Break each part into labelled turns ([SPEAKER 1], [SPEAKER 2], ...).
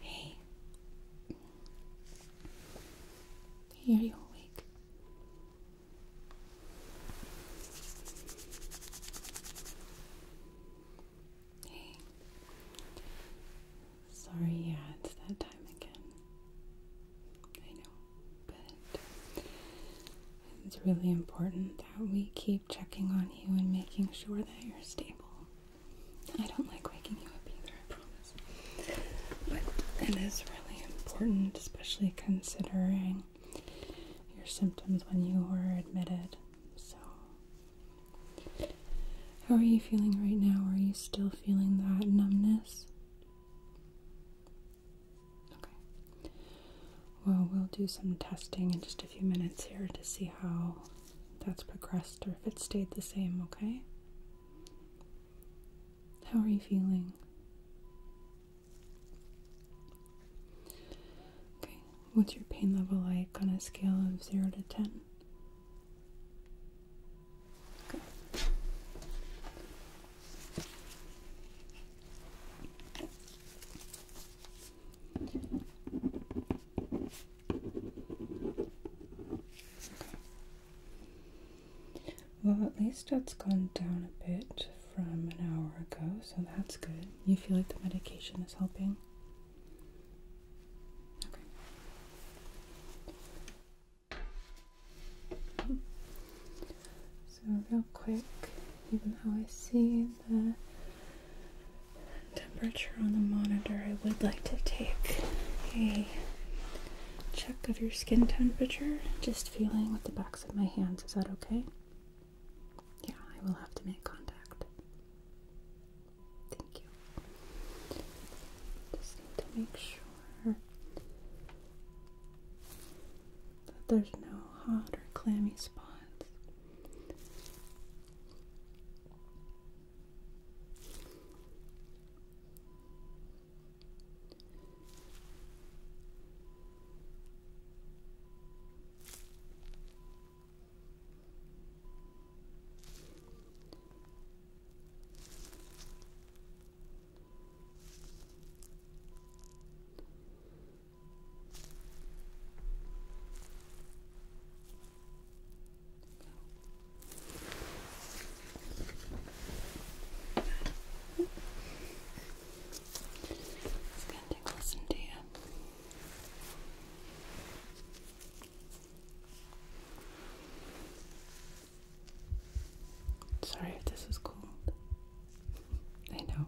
[SPEAKER 1] Hey, here you awake. Hey, Sorry, yeah, it's that time again. I know, but it's really important that we keep checking on you and making sure that you're stable. I don't like waking you up either, I promise. But it is really important, especially considering your symptoms when you were admitted. So, how are you feeling right now? Are you still feeling that numbness? Okay. Well, we'll do some testing in just a few minutes here to see how that's progressed or if it stayed the same, okay? How are you feeling? Okay, what's your pain level like on a scale of 0 to 10? Well, at least that's gone down a bit from an hour ago, so that's good. You feel like the medication is helping? So real quick, even though I see the temperature on the monitor, I would like to take a check of your skin temperature. Just feeling with the backs of my hands. Is that okay? Yeah, I will have to make contact. Just need to make sure that there's no hot or clammy spots. It's going to take listen to you. Sorry if this is cold. I know.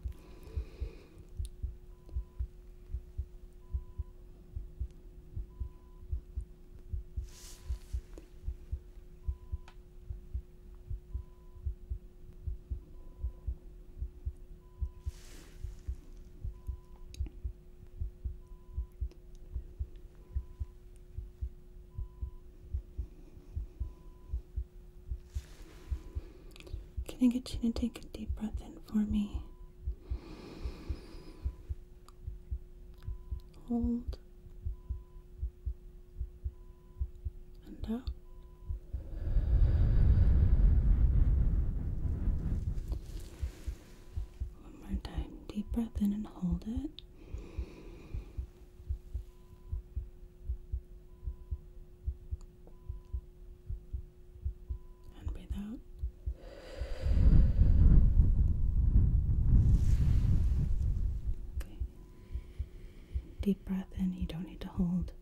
[SPEAKER 1] Can I get you to take a deep breath in for me? Hold and out. One more time. Deep breath in and hold it. And breathe out. Okay. Deep breath in, you don't need to hold.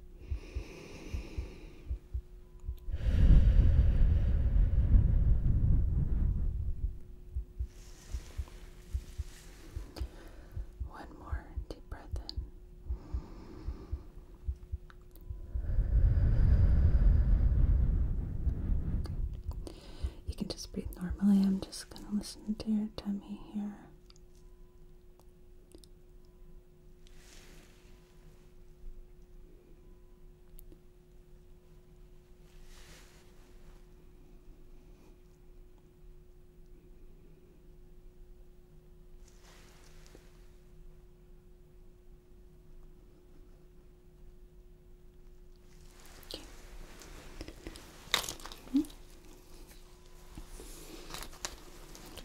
[SPEAKER 1] One more deep breath in. You can just breathe normally. I'm just going to listen to your tummy here.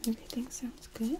[SPEAKER 1] Everything sounds good.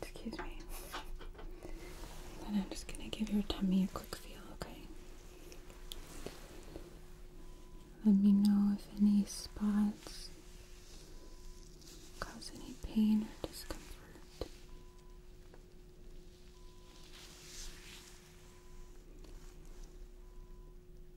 [SPEAKER 1] Excuse me. I'm just gonna give your tummy a quick feel, okay? Let me know if any spots cause any pain or discomfort.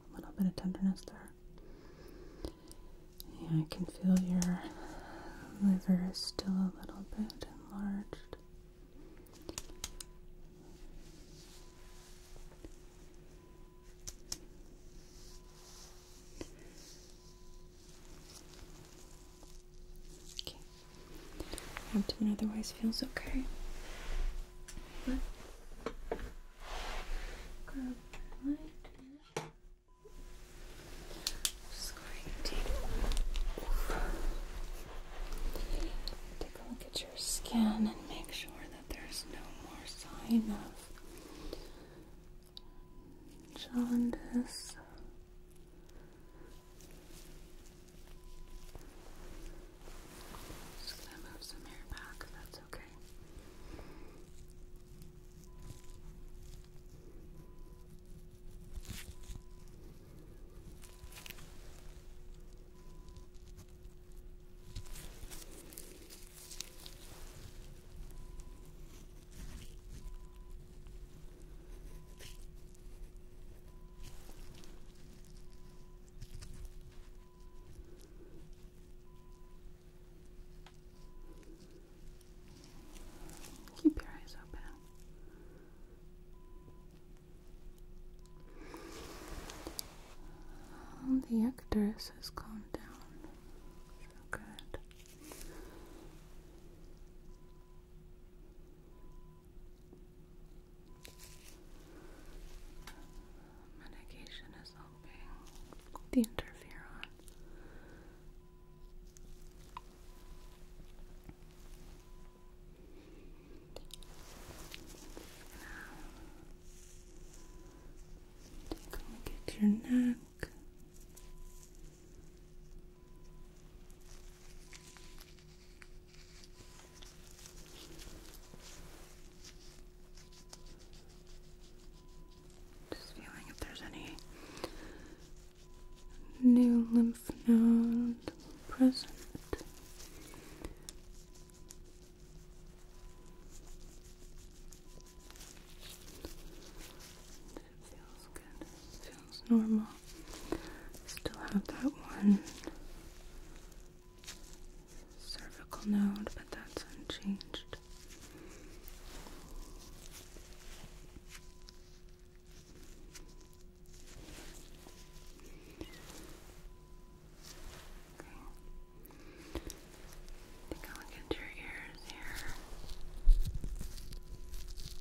[SPEAKER 1] A little bit of tenderness there. I can feel your liver is still a little bit enlarged. Okay. Abdomen otherwise feels okay. Just going to take a look at your skin and make sure that there's no more sign of jaundice just gonna move some hair back, that's Okay. Keep your eyes open. the actress has calmed down. good. Medication is helping the interferon.
[SPEAKER 2] take a look at your neck.
[SPEAKER 1] Just feeling if there's any new lymph nodes present. It feels good sounds normal. Still have that one cervical node, but that's unchanged. Okay. Take a look into your ears here.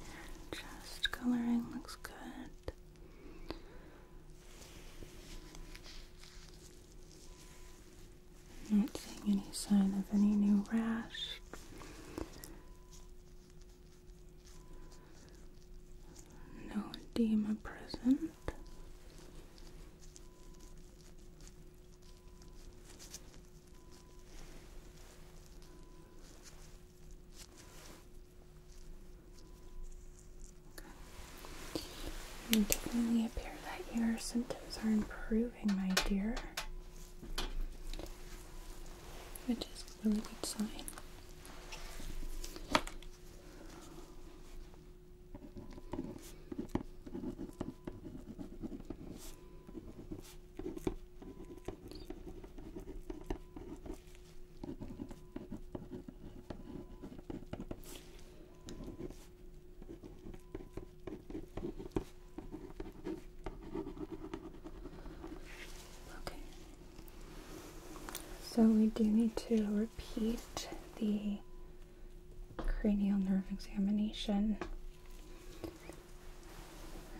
[SPEAKER 1] Your chest coloring looks good. Not seeing any sign of any new rash. No edema present front. Okay. It definitely appear that your symptoms are improving, my dear, which is a really good sign. Okay. So we do need to repeat the cranial nerve examination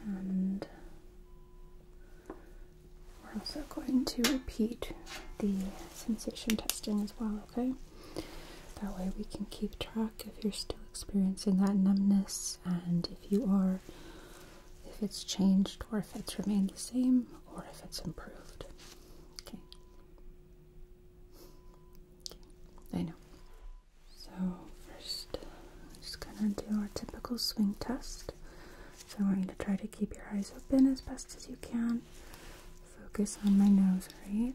[SPEAKER 1] and we're also going to repeat the sensation testing as well, okay? That way we can keep track if you're still experiencing that numbness and if you are, if it's changed or if it's remained the same or if it's improved. Okay. I know. So 1st we we're just gonna do our typical swing test. So I want you to try to keep your eyes open as best as you can. Focus on my nose, right?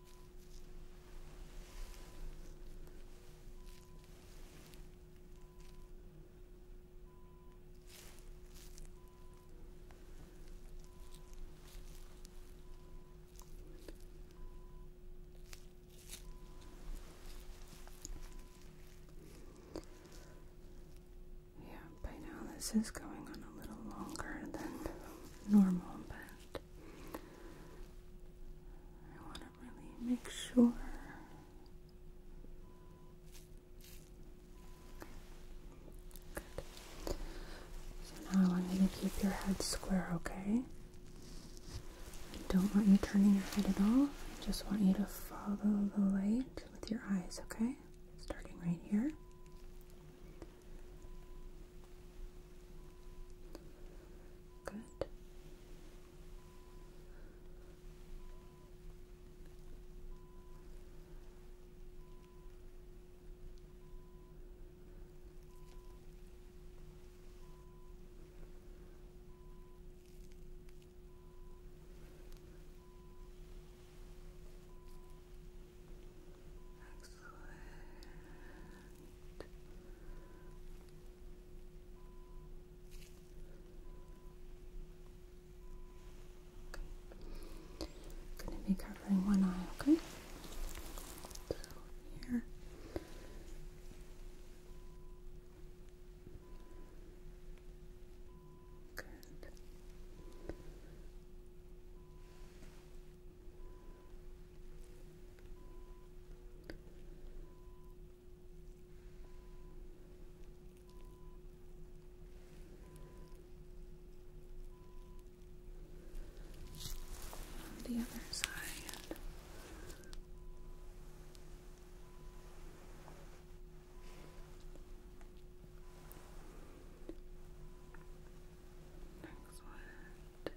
[SPEAKER 1] Yeah, by now this is going on a little longer than normal, but I want to really make sure So now I'm going to keep your head square, okay? don't want you turning your head at all. I just want you to follow the light with your eyes, okay? Starting right here. Good. Excellent. I'm gonna be covering one eye, okay? here. Good. On the other side. Next one.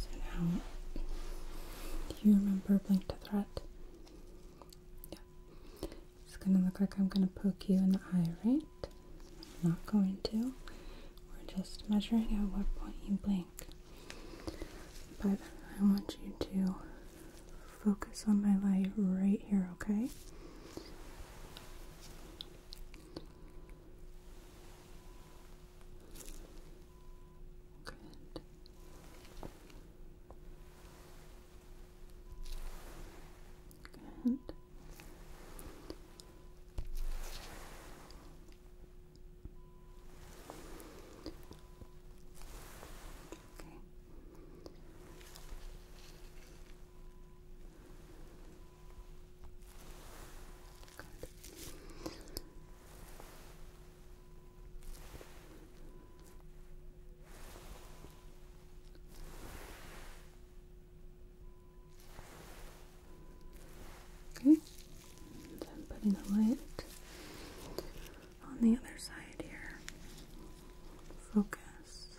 [SPEAKER 1] So now, do you remember Blink to Threat? Yeah. It's gonna look like I'm gonna poke you in the eye, right? not going to. We're just measuring at what point you blink. But I want you to focus on my light right here, okay?
[SPEAKER 2] Good. Good. Okay. Okay,
[SPEAKER 1] and I'm putting the light on the other side here. Focus.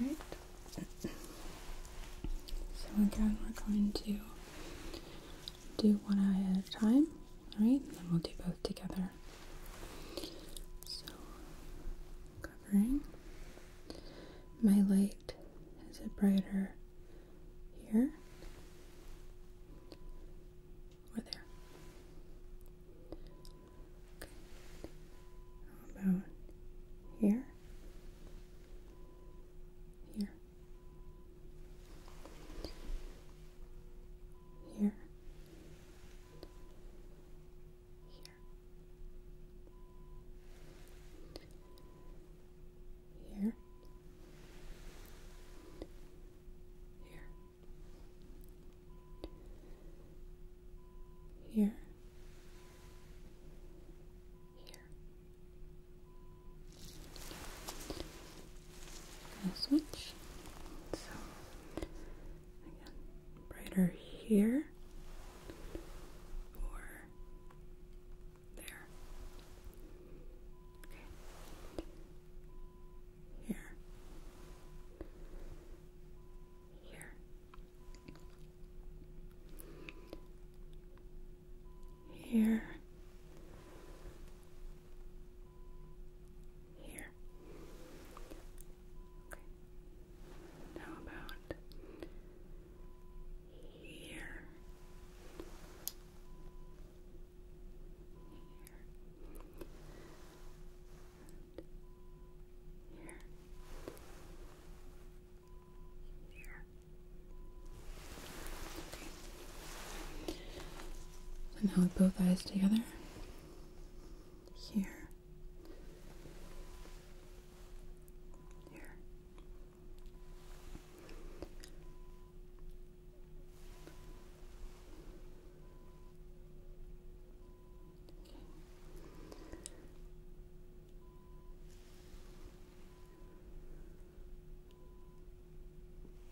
[SPEAKER 1] Right. So again, we're going to do one eye at a time, all right? And then we'll do both together. So, covering. My light is it brighter here or there? Okay. about here? Here. Here. Here. Here. Here. Here. Here gonna switch. So again, brighter here or there. Okay. Here. Here. Here. Here. Okay. How about here? Here. And here. Here. Okay. So now with both eyes together, here, here. Okay.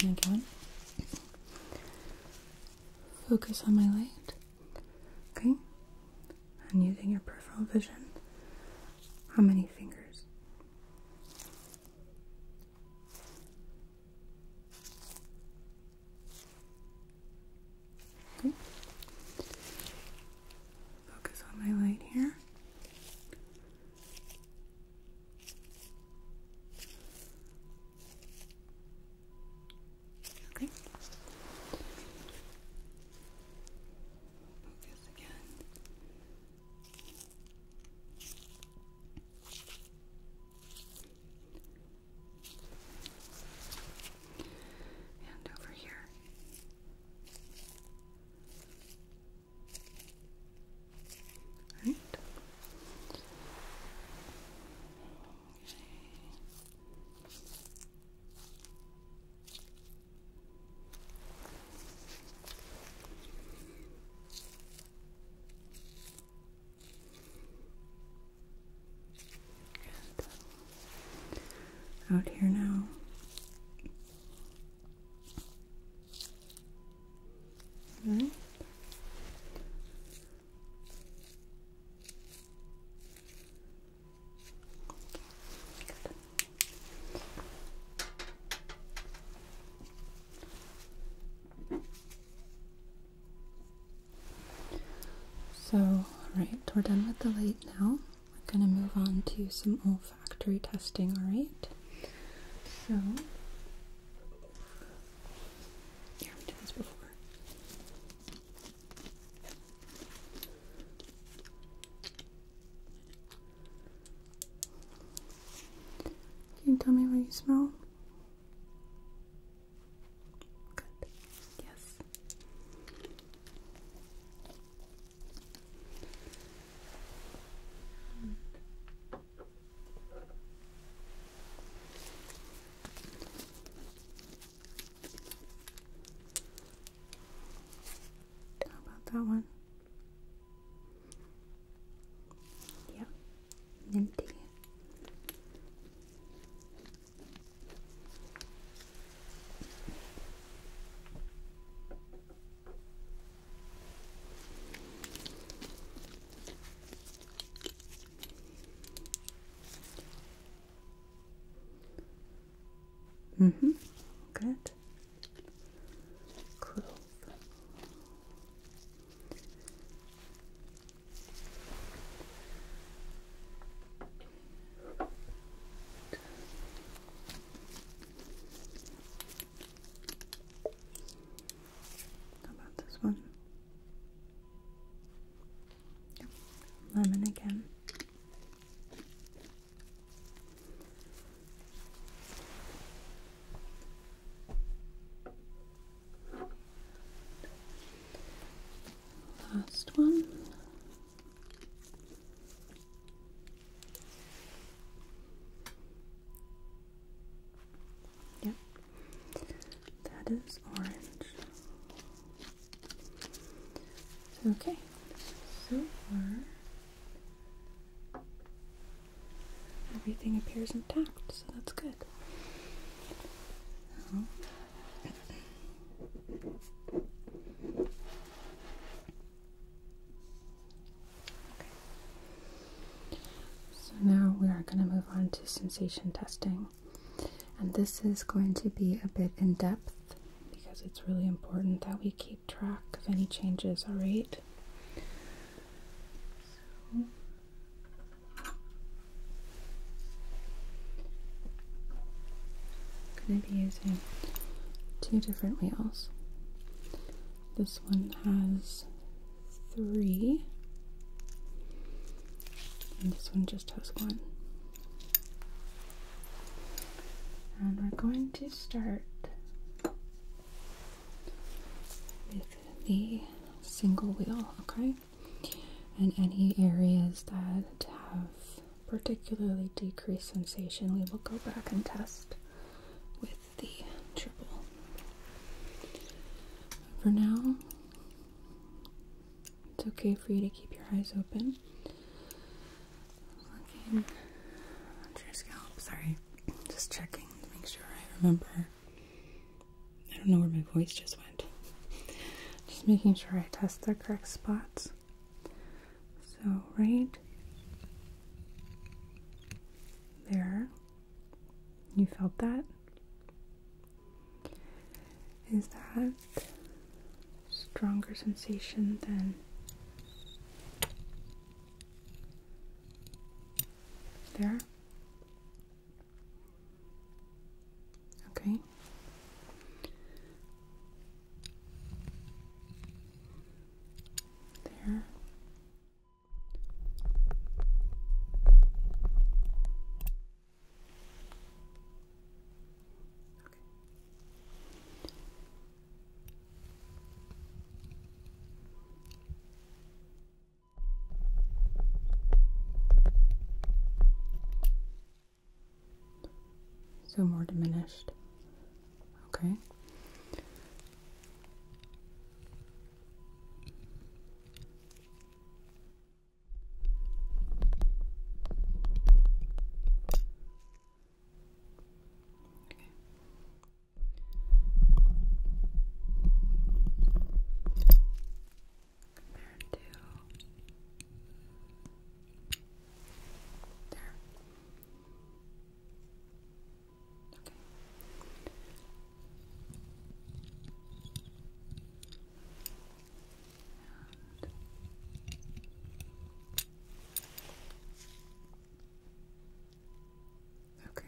[SPEAKER 1] And again, focus on my light. Okay, and using your peripheral vision, how many fingers? Focus on my light here. Okay. Focus again.
[SPEAKER 2] And over here. Right. Okay
[SPEAKER 1] out here now. All right. So, right, we're done with the light now. We're going to move on to some olfactory testing, alright? So, yeah, I've this before. Can you tell me what you smell? Good. Yes. How about that one? Yeah, minty.
[SPEAKER 2] Mm-hmm. Good. Clove.
[SPEAKER 1] How about this one? Lemon again. Last one. Yep, that is orange. Okay, so far everything appears intact, so that's good. So now we are going to move on to sensation testing. And this is going to be a bit in depth because it's really important that we keep track of any changes, alright? going to be using two different wheels. This one has three, and this one just has one. And we're going to start with the single wheel, okay? And any areas that have particularly decreased sensation, we will go back and test with the triple. For now, it's okay for you to keep your eyes open. Looking at your scalp, sorry. Just checking to make sure I remember. I don't know where my voice just went. Just making sure I test the correct spots. So, right there, you felt that. Is that stronger sensation than there. Okay. There. Okay. So more diminished. Okay. Okay. Compared to there. Okay. Okay.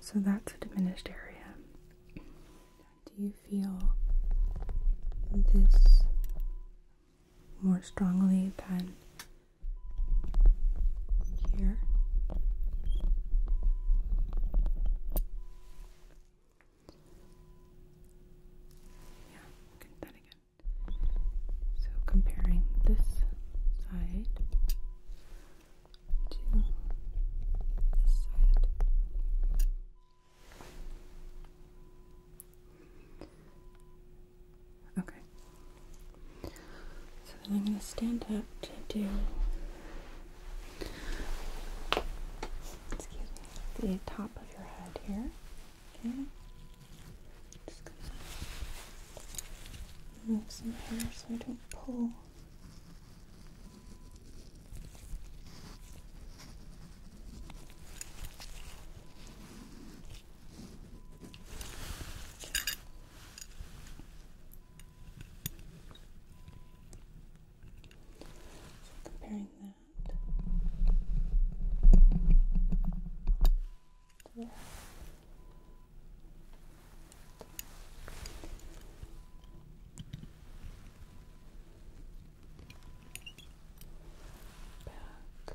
[SPEAKER 1] So that's a diminished area. Do you feel this more strongly than here. Yeah, look at again. So comparing this side to this side. Okay. So then I'm going to stand up to do the top of your head here. Okay. Just gonna move some hair so I don't pull. So comparing that to Back to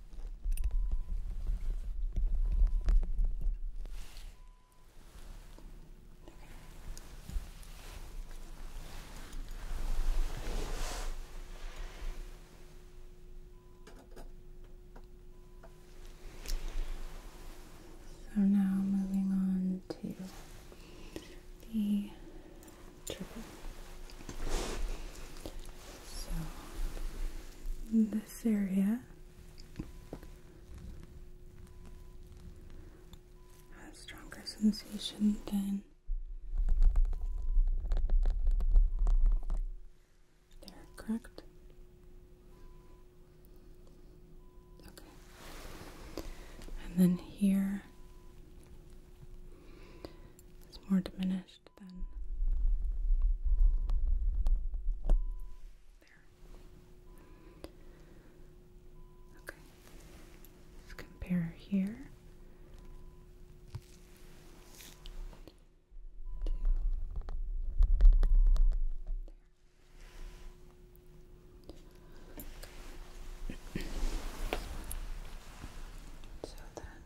[SPEAKER 1] So now moving on to the triple. So this area has stronger sensation than there, correct? Okay. And then here it's more diminished pen. There. Okay. Let's compare here. so then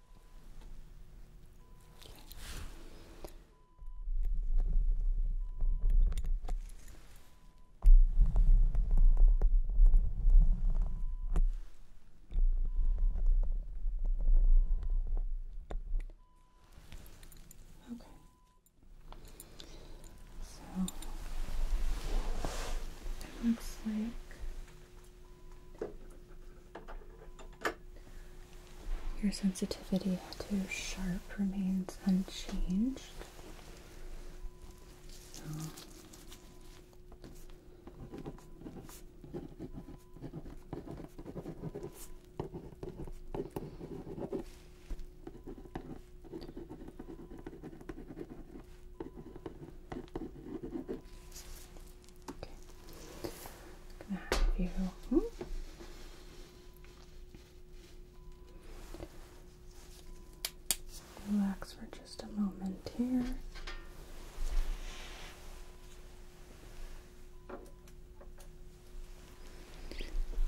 [SPEAKER 2] Okay. So
[SPEAKER 1] it looks like your sensitivity to sharp remains unchanged gonna have you. Relax for just a moment here.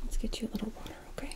[SPEAKER 1] Let's get you a little water, okay?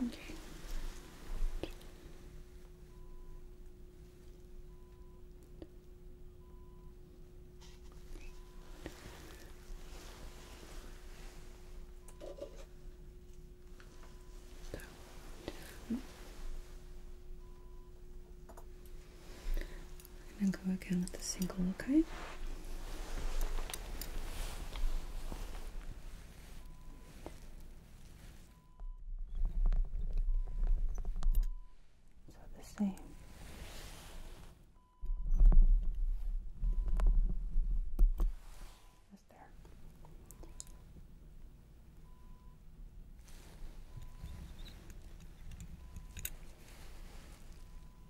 [SPEAKER 1] Okay. So, I'm gonna go again with a single, okay? So the same. Just there.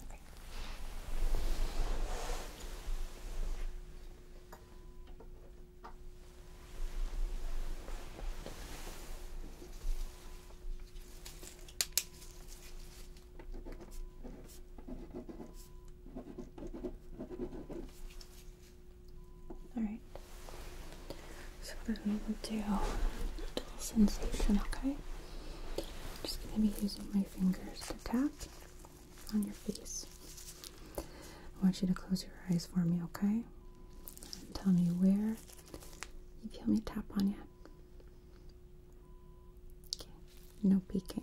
[SPEAKER 1] Okay. All right. So then we'll do a little sensation, okay? I'm just gonna be using my fingers to tap on your face. I want you to close your eyes for me, okay? And tell me where you feel me tap on you. Okay, no peeking.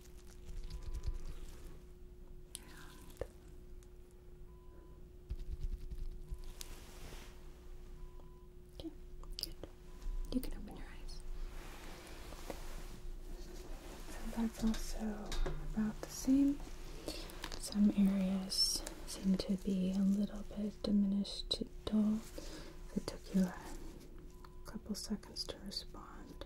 [SPEAKER 1] And Okay, good. You can open your eyes. that's also about the same. Some areas seem to be a little bit diminished to dull. It took you a couple seconds to respond.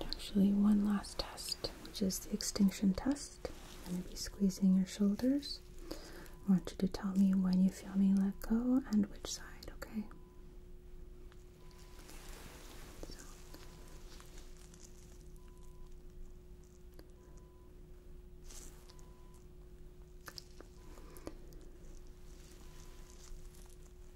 [SPEAKER 1] And actually, one last test, which is the extinction test. I'm going to be squeezing your shoulders. I want you to tell me when you feel me let go and which side, okay?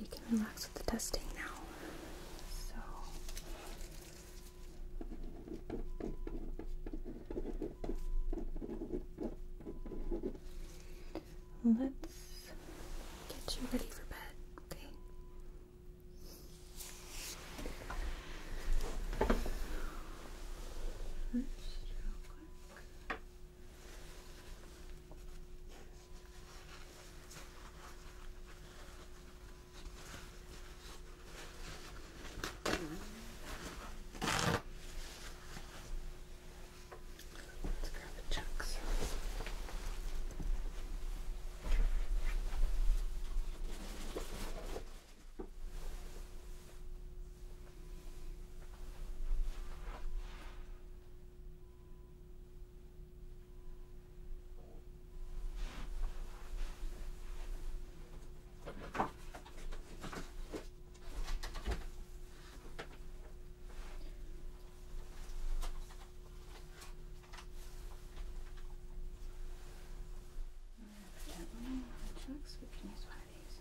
[SPEAKER 1] You can relax with the testing now. So let's get you ready for bed, okay? real quick. Let's grab the chunks. Evidently, the chunks, we can use one of these.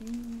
[SPEAKER 2] And you.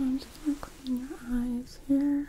[SPEAKER 1] I'm just going to clean your eyes here.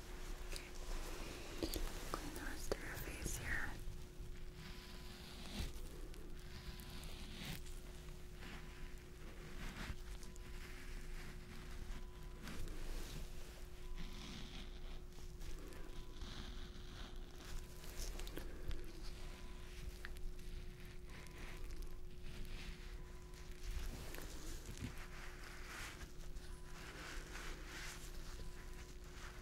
[SPEAKER 1] Okay. Clean the rest of your face here. Okay.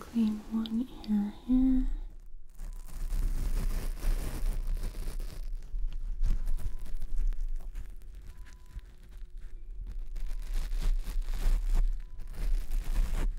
[SPEAKER 1] Clean one ear here.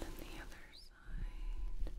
[SPEAKER 1] Then the other side. Okay.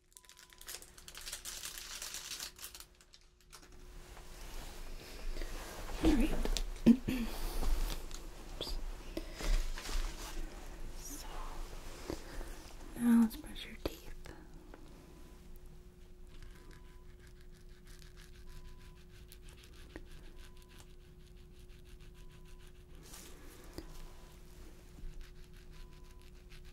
[SPEAKER 1] All right. so now let's brush your teeth.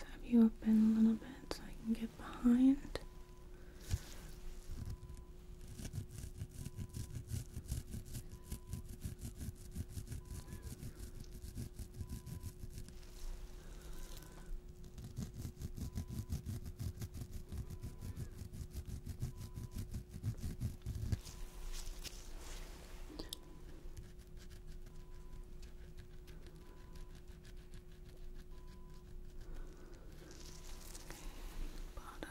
[SPEAKER 1] have you open a little bit so I can get behind. Bottoms. Okay.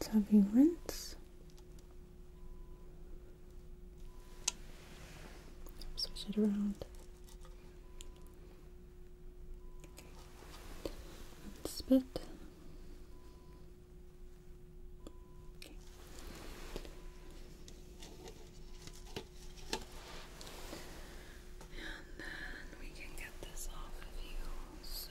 [SPEAKER 1] Let's have you rinse Switch it around. spit. And then we can get this off of you. So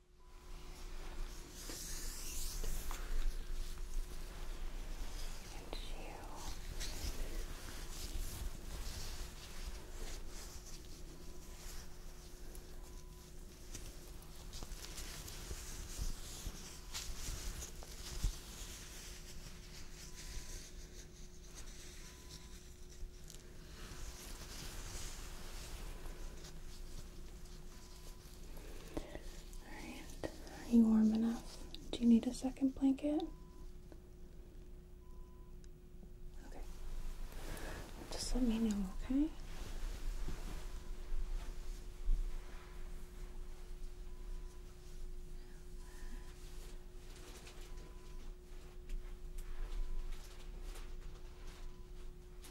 [SPEAKER 1] It's you. Good are you warm enough? Do you need a second blanket? Okay. Just let me know, okay?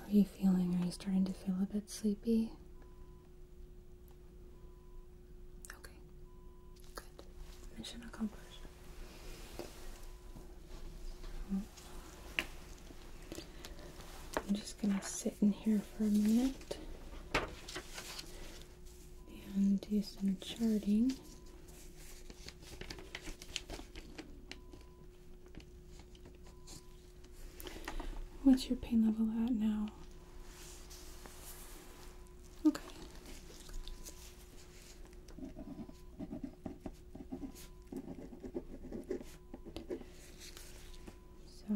[SPEAKER 1] How are you feeling? Are you starting to feel a bit sleepy? Okay. Good. Mission accomplished. I'm just gonna sit in here for a minute and do some charting. What's your pain level at now? Okay. So,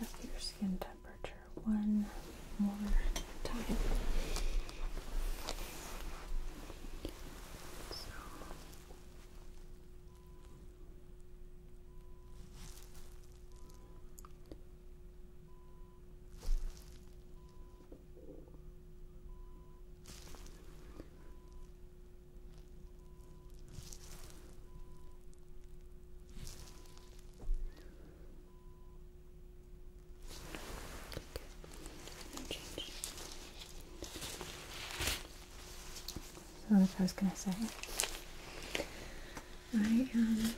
[SPEAKER 1] Let's check your skin temperature one more time. So. So, like I was going to say, I am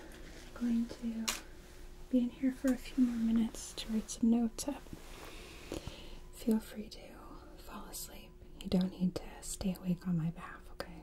[SPEAKER 1] going to be in here for a few more minutes to write some notes up. Feel free to fall asleep. You don't need to stay awake on my behalf, okay?